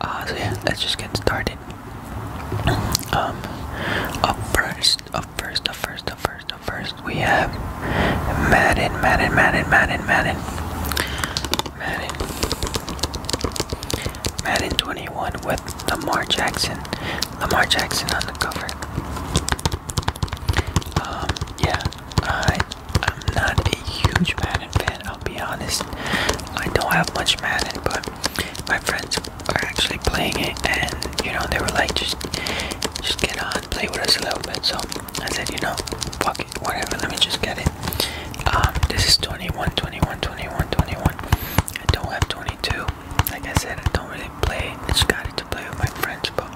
Uh, so let's just get started. Um, up first, up first, up first, up first, up first, we have Madden, Madden, Madden, Madden, Madden, Madden, Madden 21 with Lamar Jackson, Lamar Jackson on the cover. Um, yeah, I, I'm not a huge Madden I'll be honest. I don't have much Madden, but my friends are actually playing it, and you know they were like, just, just get on, play with us a little bit. So I said, you know, fuck it, whatever. Let me just get it. Um, this is 21, 21, 21, 21. I don't have 22. Like I said, I don't really play. I just got it to play with my friends, but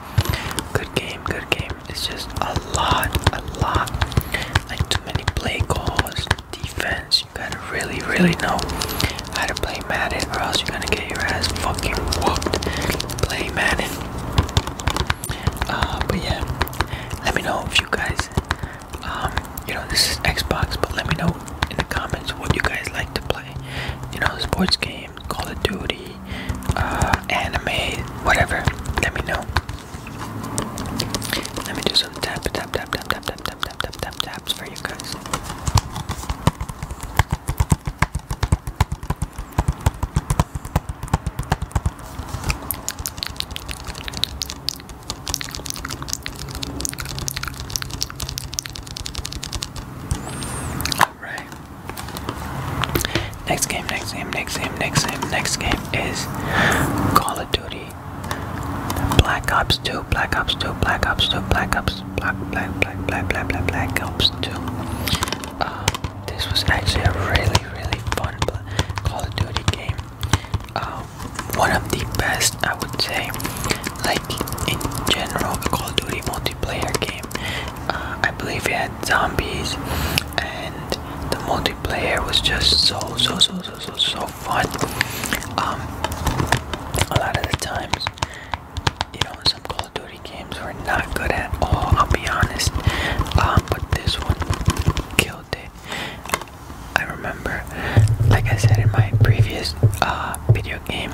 good game, good game. It's just a lot, a lot. Like too many play calls, defense. You gotta really, really know how to play Madden, or else you're gonna get your ass fucking whooped. Play Madden. Uh, but yeah, let me know if you guys, um, you know, this is Xbox, but let me know in the comments what you guys like to play. You know, sports games, Call of Duty, uh, anime, whatever. Let me know. Let me do some tap, tap, tap, tap, tap, tap, tap, tap, tap, tap, taps for you guys. All right. Next game, next game, next game, next game, next game is Call of Duty. Black Ops 2, Black Ops 2, Black Ops 2, Black Ops, Black, Black, Black, Black, Black, Black, Black Ops 2. Um, this was actually a really, really fun Call of Duty game. Um, one of the best, I would say, like in general, Call of Duty multiplayer game. Uh, I believe we had zombies, and the multiplayer was just so so so so so so fun. Um, a lot of the times, you know, some Call of Duty games were not good at all. I'll be honest, um, but this one killed it. I remember, like I said in my previous uh, video game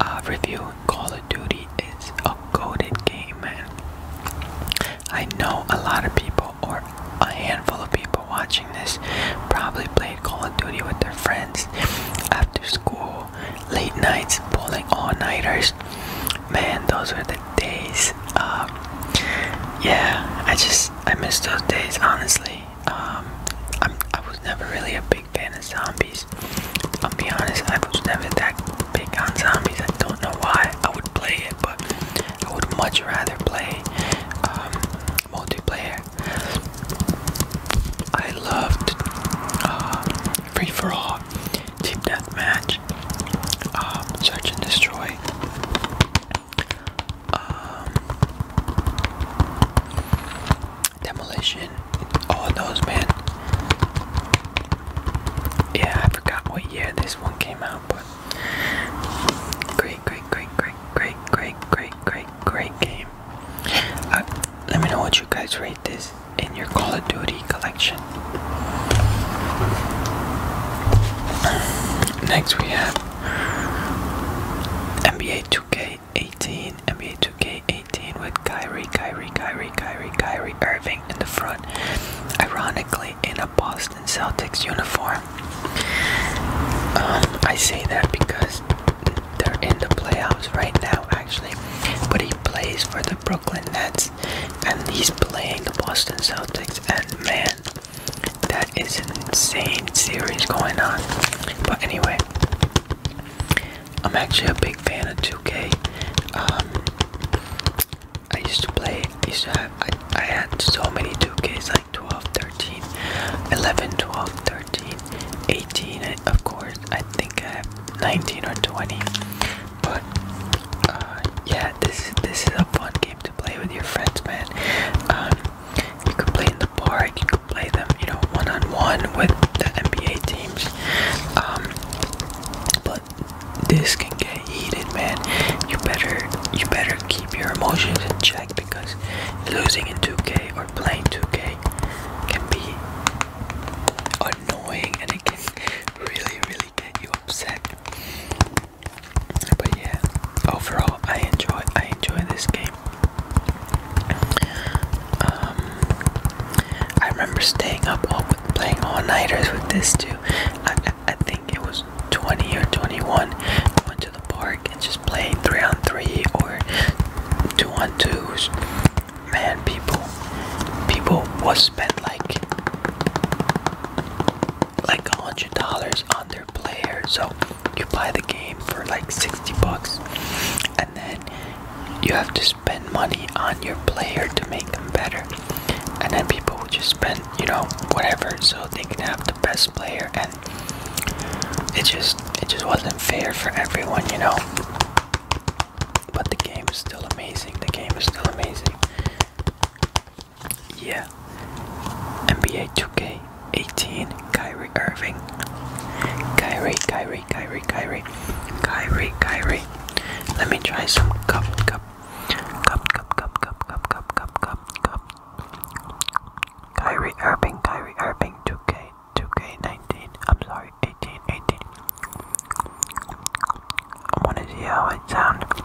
uh, review, Call of Duty is a goaded game, man. I know a lot of people, or a handful of people watching this, probably played Call of Duty with their friends after school, late nights, pulling all nighters. Man, those were the days. Um, yeah, I just I miss those days. Honestly, um, I'm, I was never really a big big fan of zombies. I'll be honest, I was never that big on zombies. I don't know why I would play it, but I would much rather play um, multiplayer. I loved uh, Free for All, Team Deathmatch, um, Search and Destroy. Um, demolition and all those, man. Yeah, I forgot what year this one came out, but great, great, great, great, great, great, great, great, great game. Uh, let me know what you guys rate this in your Call of Duty collection. Next we have NBA 2K 18 NBA 2K18 with Kyrie, Kyrie, Kyrie, Kyrie, Kyrie Irving in the front, ironically in a Boston Celtics uniform. Um, I say that because they're in the playoffs right now, actually, but he plays for the Brooklyn Nets and he's playing the Boston Celtics, and man, that is an insane series going on. But anyway, I'm actually a big fan of 2 um, I used to play, I used to have, I, had so many 2Ks like 12, 13, 11, 12, 13, 18, I, of course, I think I have 19 or 20. But, uh, yeah, this, this is a fun game to play with your friends, man. Um, you can play in the park play them, you know, one on one with the NBA teams. Um, but this can get heated, man. You better, you better keep your emotions in check because losing in 2K or playing 2K can be annoying and it can really, really get you upset. But yeah, overall, I enjoy, I enjoy this game. Um, I remember staying up all playing all nighters with this too. I, I, think it was 20 or 21. I went to the park and just played three on three or two on twos. Man, people, people was spent like like a hundred dollars on their players. So you buy the game for like 60 bucks and then you have to spend money on your player to make them better and then people will just spend you know whatever so they can have the best player and it just it just wasn't fair for everyone you know but the game is still amazing the game is still amazing yeah. NBA 2K18 Kyrie Irving. Kyrie, Kyrie, Kyrie, Kyrie. Kyrie, Kyrie. Let me try some cup, cup. Cup, cup, cup, cup, cup, cup, cup, cup, cup. Kyrie Irving, Kyrie Irving 2K, 2K19. I'm sorry, 18, 18. I want to see how it sounds.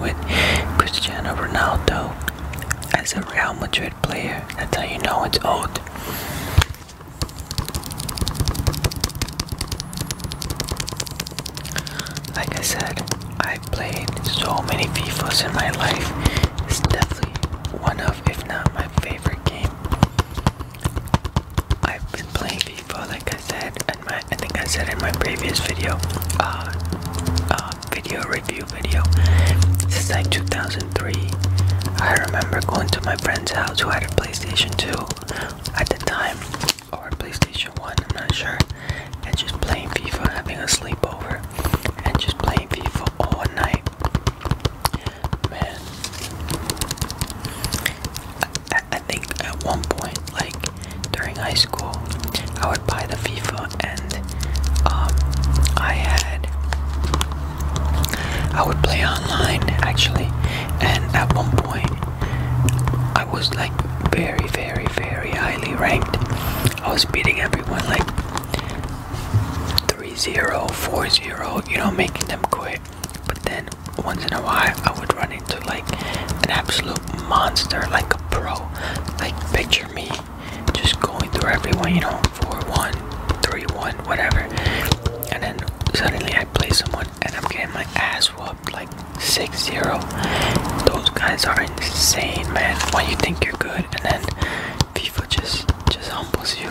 with Cristiano Ronaldo as a Real Madrid player. That's how you know it's old. Like I said, I've played so many FIFAs in my life. It's definitely one of, if not my favorite game. I've been playing FIFA, like I said, I think I said in my previous video uh, uh, video review video This is like 2003 I remember going to my friend's house who had a PlayStation 2 at the time or PlayStation 1 I'm not sure and just playing FIFA having a sleepover and just playing FIFA all night man I, think at one point, like during high school, I would buy the FIFA, and um, I had I would play online actually, and at one point, I was like very, very, very highly ranked. I was beating everyone like 3-0, 4-0, you know, making them quit but then once in a while I would run into like an absolute monster, like a pro. Like picture me just going through everyone, you know, four one, three one, whatever. And then suddenly I play someone and I'm getting my ass whooped like 6-0. Those guys are insane man. When you think you're good and then FIFA just just humbles you.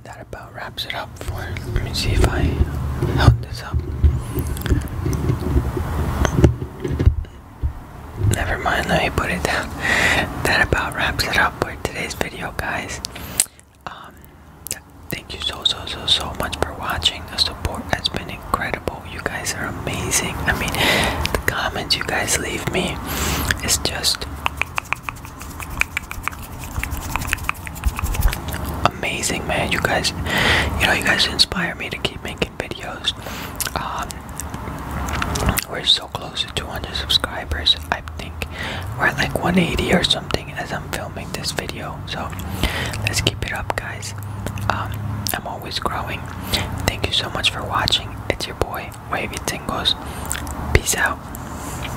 that about wraps it up for let me see if I held this up. Never mind, let me put it down. That about wraps it up for today's video guys. Um, thank you so so so so much for watching. The support has been incredible. You guys are amazing. I mean the comments you guys leave me is just Amazing, man. You guys, you know, you guys inspire me to keep making videos. Um, we're so close to 200 subscribers. I think we're at like 180 or something as I'm filming this video. So let's keep it up, guys. Um, I'm always growing. Thank you so much for watching. It's your boy, Wavy Tingles. Peace out.